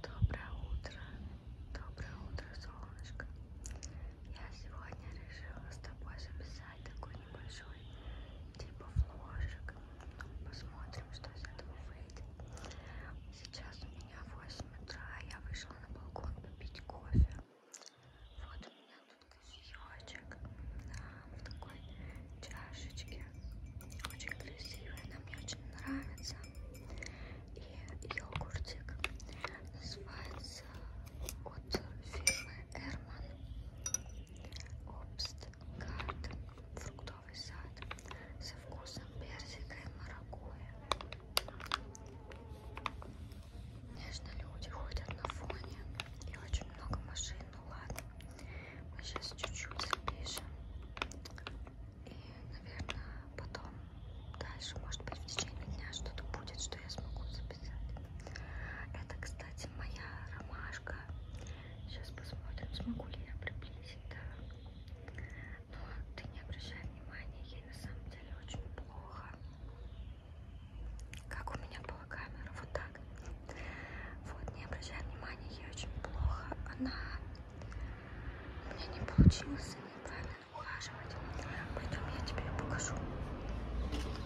Доброе утро, доброе утро, солнышко. Я сегодня решила с тобой записать такой небольшой типа вложек. Посмотрим, что из этого выйдет. Сейчас у меня 8 утра, я вышла на балкон попить кофе. Вот у меня тут кофеечек да, в такой чашечке очень красивая, она мне очень нравится. И йогуртик называется от фирмы Эрман Обст Гарден, фруктовый сад со вкусом персика и маракуйя. Конечно, люди ходят на фоне и очень много машин, ну ладно. Мы сейчас чуть-чуть запишем и, наверное, потом дальше, может быть, в течение дня что-то будет, что я смогу записать. Это, кстати, моя ромашка. Сейчас посмотрим, смогу ли я приблизить, да. Но ты не обращай внимания, ей на самом деле очень плохо. Как у меня была камера, вот так. Вот, не обращай внимания, ей очень плохо. Она у меня не получилось неправильно ухаживать. Поэтому я тебе покажу. Вот, видишь.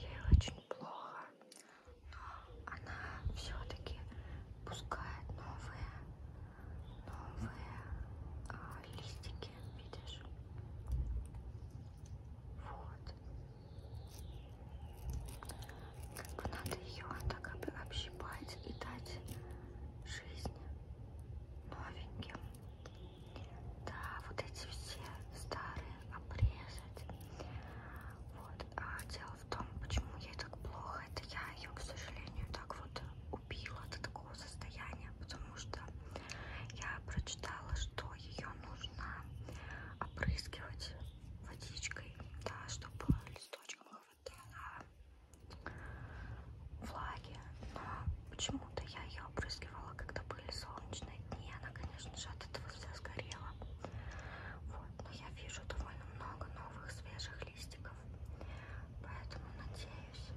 Ей очень плохо, но она все-таки пускает новые, новые а, листики, видишь? Вот. Как бы надо ее так общипать и дать жизнь новеньким. Да, вот эти все старые обрезать. Вот. А дело в том, почему ей так плохо, это я ее, к сожалению, так вот убила до такого состояния, потому потому что я прочитала, что ее нужно опрыскивать водичкой, да, чтобы листочком хватало влаги. Но а почему-то я ее опрыскивала, когда были солнечные дни. Она, конечно же, от этого вся сгорела. Вот, но я вижу довольно много новых свежих листиков. Поэтому надеюсь,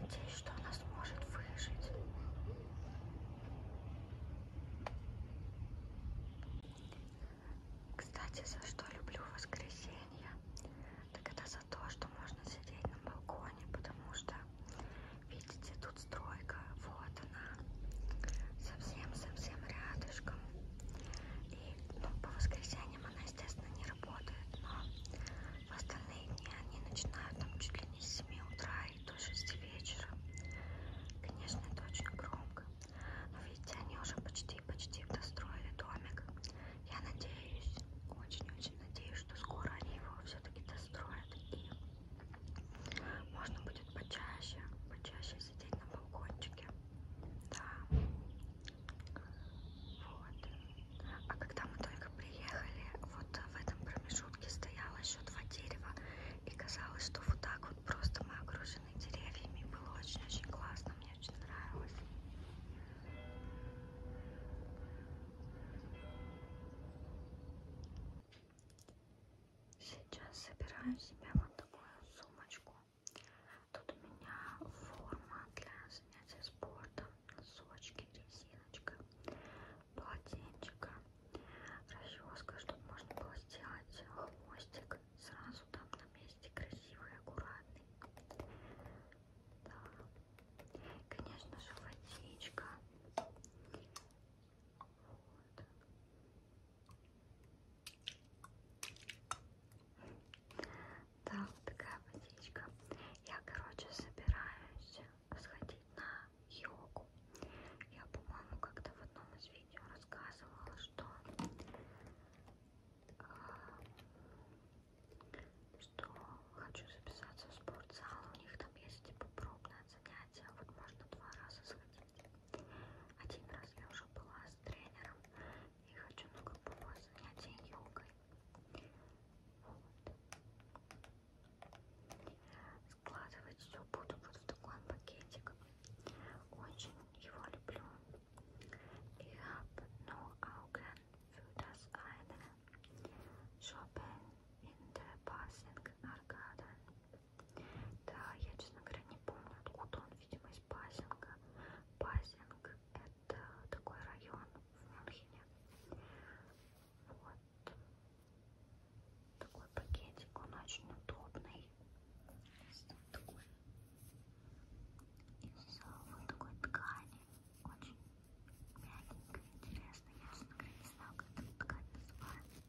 Надеюсь, что она сможет выжить. Кстати, за что люблю воскресенье? Так это за то, что можно сидеть на балконе, потому что, видите, тут стройка, вот она, совсем-совсем рядышком. И ну, по воскресеньям она, естественно, не работает, но в остальные дни они начинают там чуть ли не с 7 утра и до 6 вечера. Конечно, это очень громко. Но видите, они уже почти-почти достроили домик. Я надеюсь, очень-очень надеюсь, что скоро они его все-таки достроят. И можно будет почаще, почаще сидеть на балкончике. Да. Вот. А когда мы только приехали, вот в этом промежутке стояло еще два дерева, и казалось, что вот так вот просто мы окружены деревьями. Было очень-очень классно, мне очень нравилось. Сейчас собираю себе вот такую сумочку. Тут у меня форма для занятия спортом носочки, резиночка, полотенчика, расческа, чтобы можно было сделать хвостик сразу там на месте, красивый, аккуратный. Да. Конечно же, водичка. Вот. Да, вот такая водичка. Я, короче, собираюсь сходить на йогу. Я, по-моему, как-то в одном из видео рассказывала, что, э, что хочу записаться в спортзал. У них там есть типа пробное занятие. Вот можно два раза сходить. Один раз я уже была с тренером и хочу на групповое занятие йогой. Вот. Складывать все буду вот в такой пакетик. Очень его люблю. Ich habe nur ну, Augen für das eine Shoppen in der Passing Arcade. Да, я, честно говоря, не помню, откуда он, видимо, из Пасинга. Пасинг – это это такой район в Мюнхене. Вот. Такой пакетик, он очень удобный. Такой. Из вот такой ткани. Очень мягенько, интересно. Я, честно не знаю, как эта ткань называется.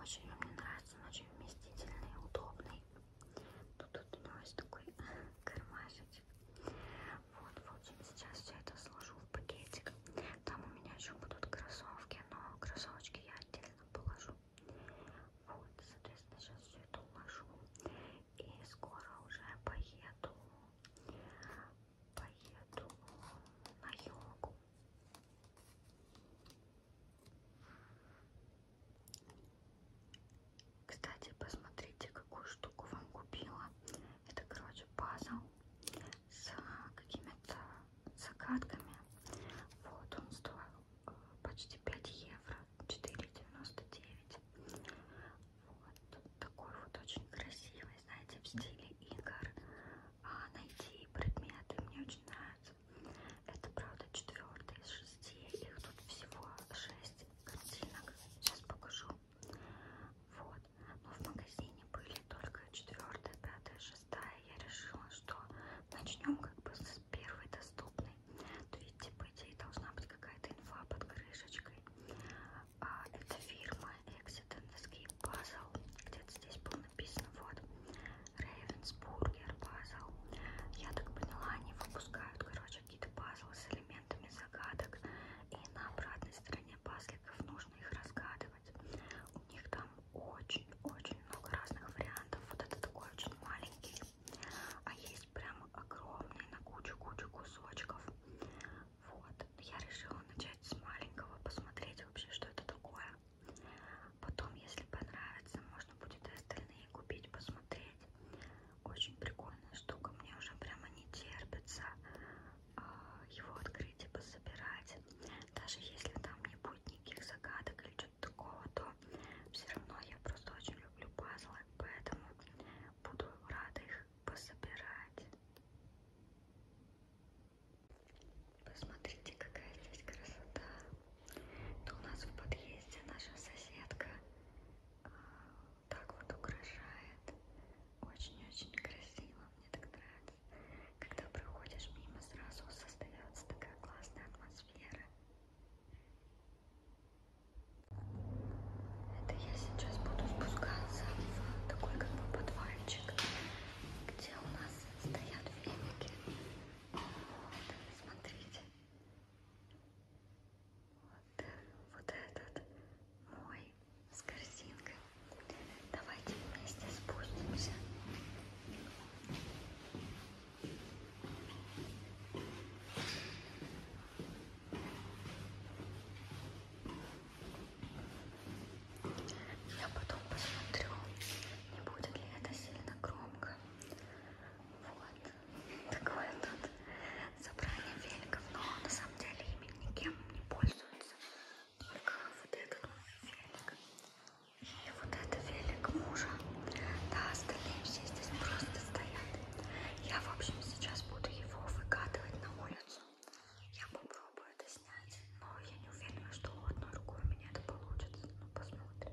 Очень мне нравится, он очень вместительный, удобный. Тут, тут у него есть такой кармашечек. Вот, вот, я сейчас все это сложу в пакетик. Там у меня еще будут кроссовки, но кроссовочки я отдельно положу. Вот, соответственно, сейчас все это уложу. И скоро уже поеду, поеду на йогу. Кстати, посмотрите, какую штуку вам купила. Это, короче, пазл с э, какими-то загадками. Вот, он стоил э, почти 5 евро, 4,99. Вот, такой вот очень красивый, знаете, в стиле игр. А найти предметы мне очень нравится. Это, правда, четвертый из шести. Их тут всего шесть картинок. Сейчас покажу. Вот. Но ну, в магазине были только четвертая, пятая, шестая. Я решила, что начнем как бы с первой доступной. То есть, типа, идеи должна быть какая-то инфа под крышечкой. А, это фирма Exit and Escape Puzzle. Где-то здесь было написано, вот, Ravensburger Puzzle. Я так поняла, они выпускают, короче, также какие-то пазлы с элементами загадок. И на обратной стороне пазликов нужно их разгадывать. У них там очень-очень много разных вариантов. Вот это такой очень маленький. А есть прям огромный на кучу-кучу кусочков. Вот. Я решила начать с маленького, посмотреть вообще, что это такое. Потом, если понравится, можно будет и остальные купить, посмотреть. Очень прикольная штука. Мне уже прямо не терпится э, его открыть и типа, пособирать. Даже если там не будет никаких загадок или что-то такого, то все равно я просто очень люблю пазлы, поэтому буду рада их пособирать. Посмотрите, какая здесь красота. Это у нас в подъезде наша соседка так вот украшает. Очень-очень красиво, мне так нравится. Когда проходишь мимо, сразу создается такая классная атмосфера. Это я сейчас буду спускаться в такой как бы подвальчик, где у нас стоят веники. Вот, смотрите. Вот, вот этот мой с корзинкой. Давайте вместе спустимся. Я потом посмотрю, не будет ли это сильно громко. Вот такое тут собрание великов, но на самом деле ими никем не пользуются. Только вот этот мой велик и вот это велик мужа. Да, остальные все здесь просто стоят. Я, в общем, сейчас буду его выкатывать на улицу. Я попробую это снять, но я не уверена, что одной рукой у меня это получится. Ну, посмотрим.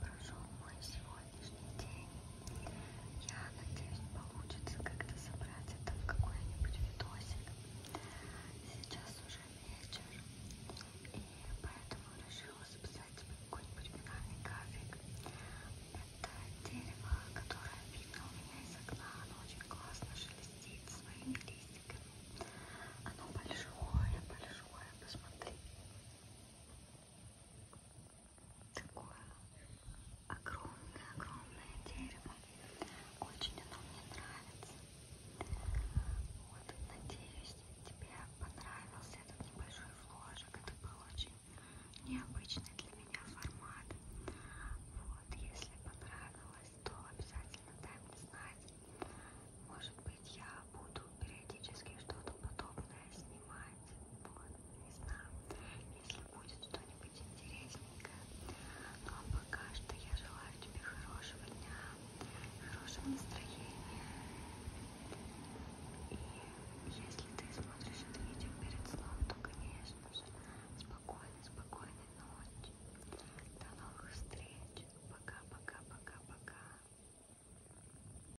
прошел мой сегодняшний день. Я надеюсь, получится как-то собрать это в какой-нибудь видосик. Сейчас уже вечер, и поэтому решила записать какой-нибудь финальный график. Это дерево, которое видно у меня из окна, оно очень классно шелестит своими листиками. Оно большое, большое, посмотри такое огромное-огромное дерево. Очень оно мне нравится. Вот, надеюсь, тебе понравился этот небольшой вложек. Это был очень необычный для меня формат. Вот, если понравилось, то обязательно дай мне знать. Может быть, я буду периодически что-то подобное снимать. Вот, не знаю, если будет что-нибудь интересненькое. Ну а пока что я желаю тебе хорошего дня, хорошего настроения. И если ты смотришь это видео перед сном, то, конечно же, спокойной, спокойной ночи. До новых встреч. Пока-пока-пока-пока.